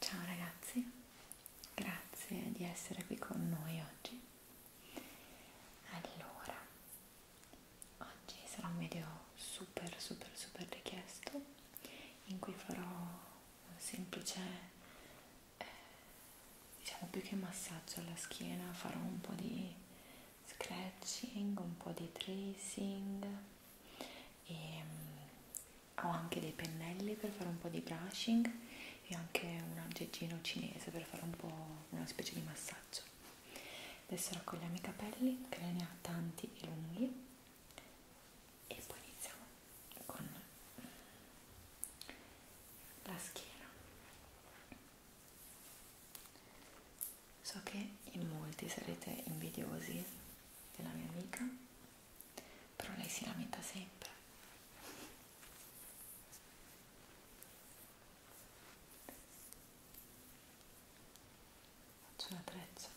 Ciao ragazzi, grazie di essere qui con noi oggi. Allora, oggi sarà un video super super super richiesto in cui farò semplice eh, diciamo più che massaggio alla schiena farò un po' di scratching un po' di tracing e ehm, mh, ho anche dei pennelli per fare un po' di brushing e anche un aggeggino cinese per fare un po' una specie di massaggio adesso raccogliamo i capelli che ne ha tanti e lunghi e poi iniziamo con la schiena so che in molti sarete invidiosi della mia amica però lei si lamenta sempre faccio la treccia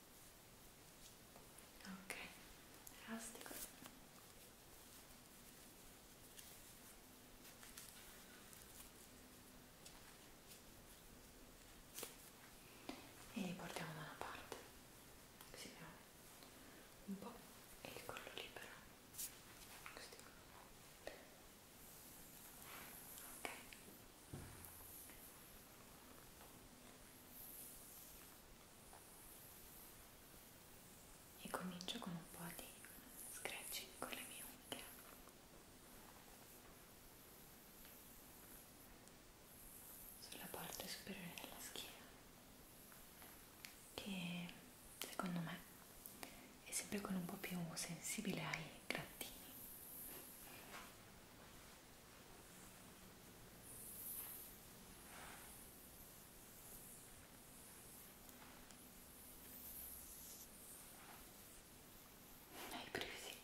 ok elastico e li portiamo da una parte così abbiamo un po' e il collo libero così. ok e comincio con un po' di scratching con le mie unghie sulla parte superiore della schiena che secondo me è sempre con un po' più sensibile ai grattini hai presi?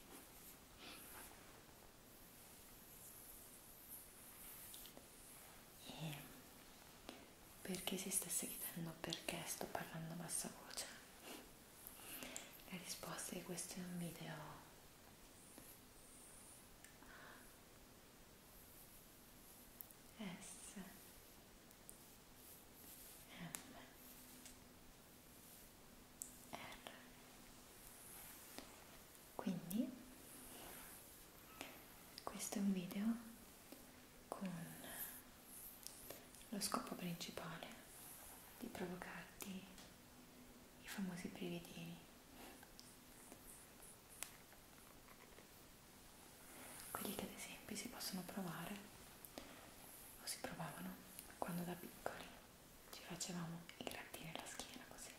E perché si stesse chiedendo perché sto parlando a bassa voce? La risposta di questo è un video S M R quindi questo è un video con lo scopo principale di provocarti i famosi brividini quelli che ad esempio si possono provare o si provavano quando da piccoli ci facevamo i grattini alla schiena così.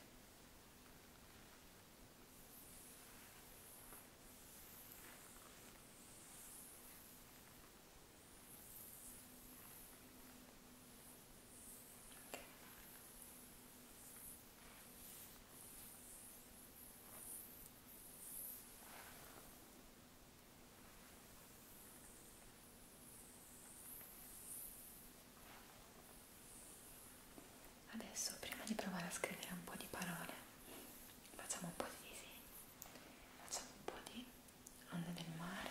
Adesso prima di provare a scrivere un po' di parole, facciamo un po' di disegni, facciamo un po' di onde del mare.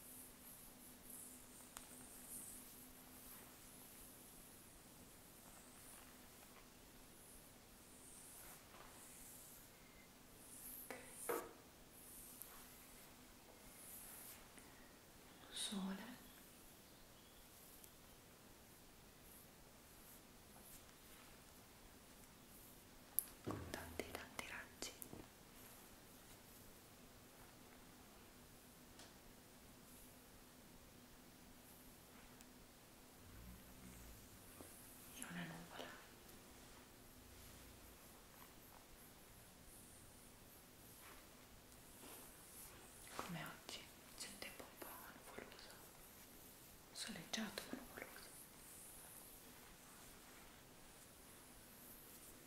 Sole. Con tanti tanti raggi e una nuvola come oggi c'è un tempo un po' nuvoloso soleggiato ma nuvoloso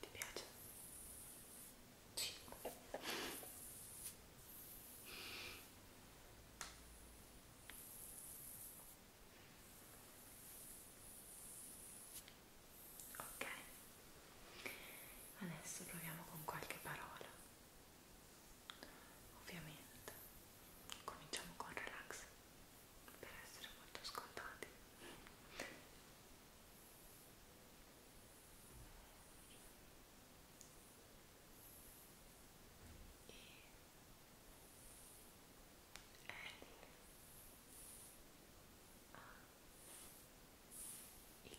Ti piace? Sì. Ok, adesso proviamo con qualche parola. Ovviamente, cominciamo con relax. Relax per essere molto scontati e L A X e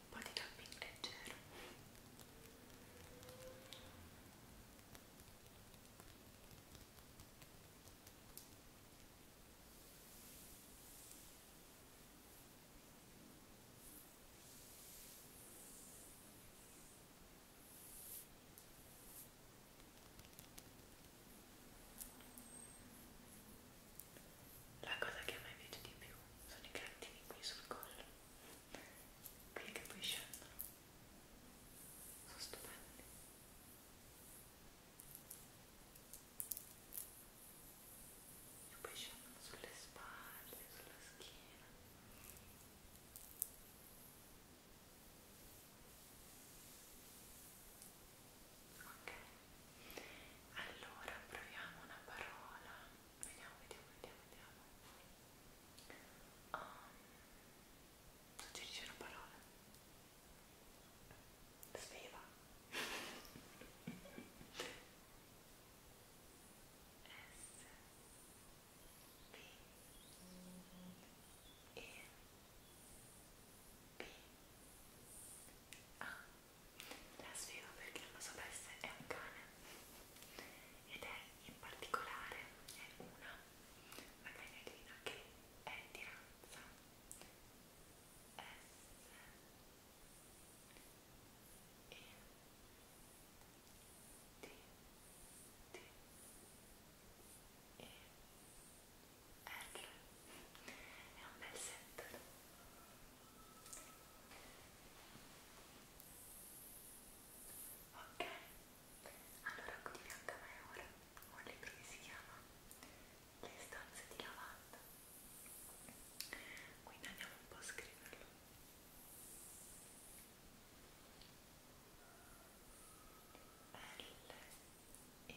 un po' di tapping leggero la cosa che a me piace di più sono i grattini qui sul collo, qui che poi scendono, sono stupendi. E poi scendono sulle spalle, sulla schiena. Ok, allora proviamo una parola. Vediamo, vediamo, vediamo, vediamo. Um, suggerisci una parola. Sveva. S B E B ah, A la sfido perché non lo sapesse è un cane ed è in particolare è una la cagnolina che è di razza S E D D E R è un bel set ok allora qui di fianco a me ora ho un libro che si chiama Le stanze di lavanda quindi andiamo un po' a scriverlo L E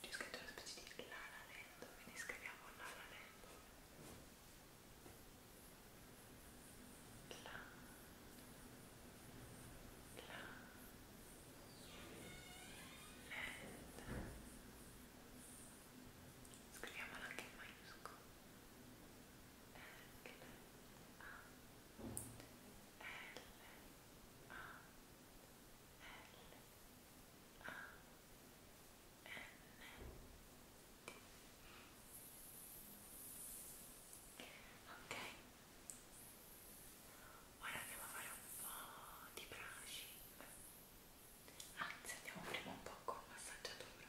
C'è scritto una specie di Lala Lento, quindi scriviamo Lala Lento. La, la, lenta. Scriviamola anche in maiuscolo. L, Ok, ora andiamo a fare un po' di brushing. Anzi, andiamo prima un po' con massaggiatura.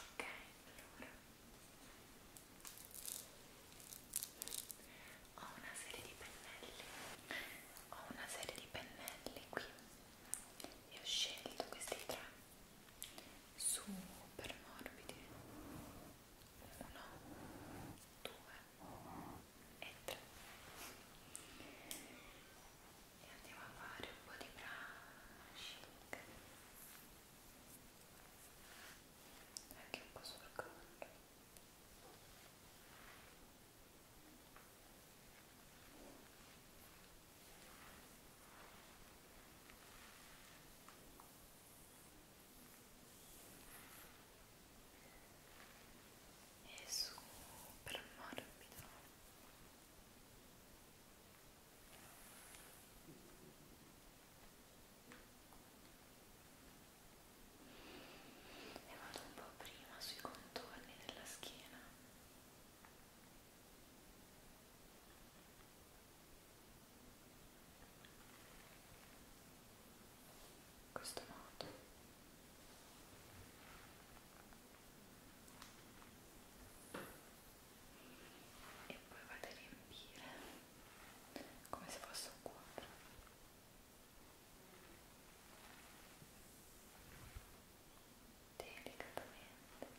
Ok, allora ho una serie di pennelli, ho una serie di pennelli qui e ho scelto questi tre super morbidi. Uno, due e 3 e andiamo a fare un po' di brushing anche un po' sul collo e è super morbido e vado un po' prima sui contorni della schiena e in questo modo e poi vado a riempire come se fosse un quadro delicatamente e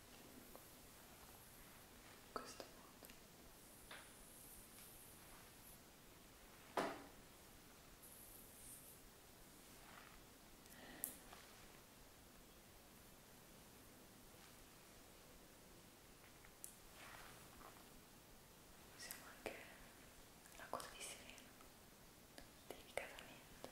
in questo modo usiamo anche la coda di sirena delicatamente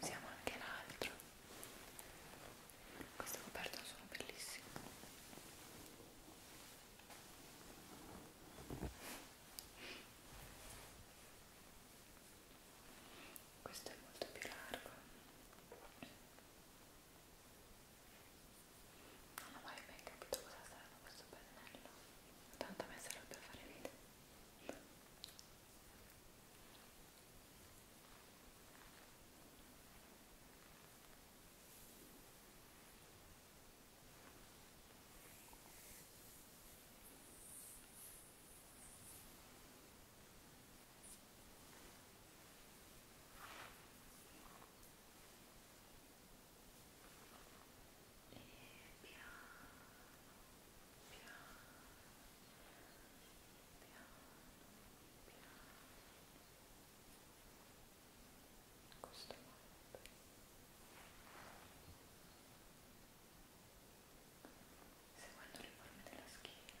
Usiamo anche l'altro. Queste coperte sono bellissime. Questo è molto più largo. Non ho mai ben capito cosa serve questo pennello, tanto a me serve per fare video e piano piano piano piano questo modo seguendo le forme della schiena e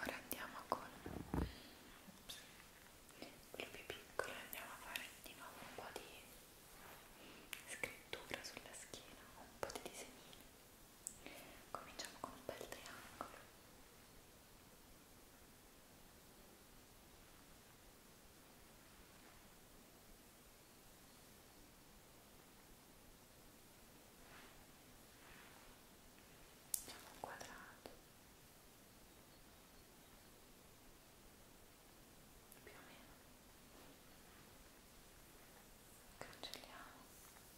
Ora andiamo con Ops. quello più piccolo andiamo a fare di nuovo un po' di scrittura sulla schiena, un po' di disegnini. Cominciamo con un bel triangolo. Facciamo un quadrato più o meno cancelliamo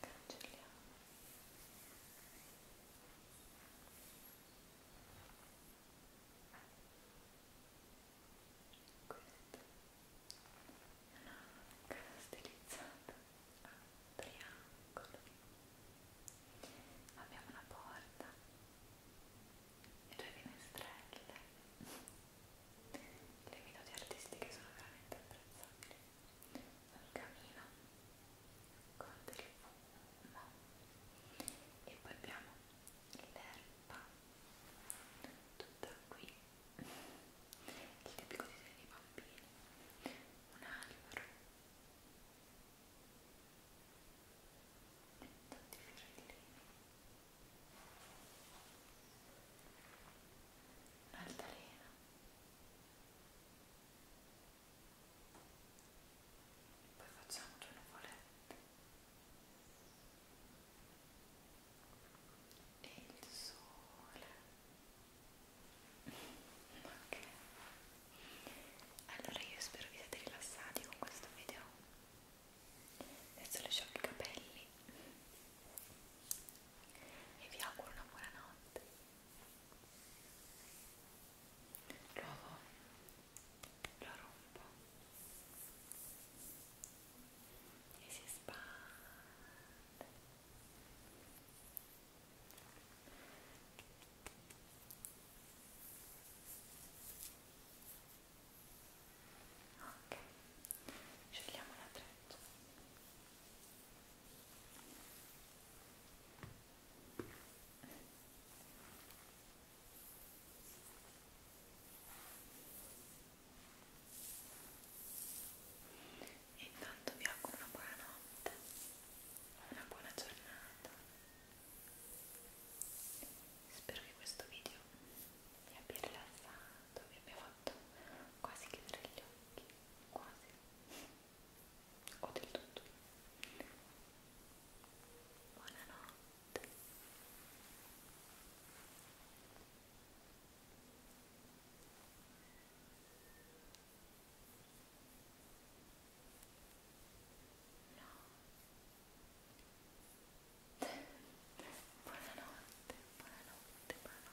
cancelliamo questa è una cara stilizzata a triangolo abbiamo una porta e due finestrelle le minuti artistiche sono veramente apprezzabili al camino con del fumo e poi abbiamo l'erba tutta qui il tipico disegno dei bambini un albero tanti fiorellini un'altalena poi facciamo due nuvolette e il sole ok allora io spero vi siate rilassati con questo video adesso le sciocco i capelli e vi auguro una buona notte Luego lo rompo y si expande ok scegliamo la treccia e intanto vi auguro una buona notte, una buona giornata. Spero che questo video vi abbia rilassato, vi abbia fatto quasi chiudere gli occhi, quasi o del tutto. Buonanotte. No. Buonanotte, buonanotte, buonanotte.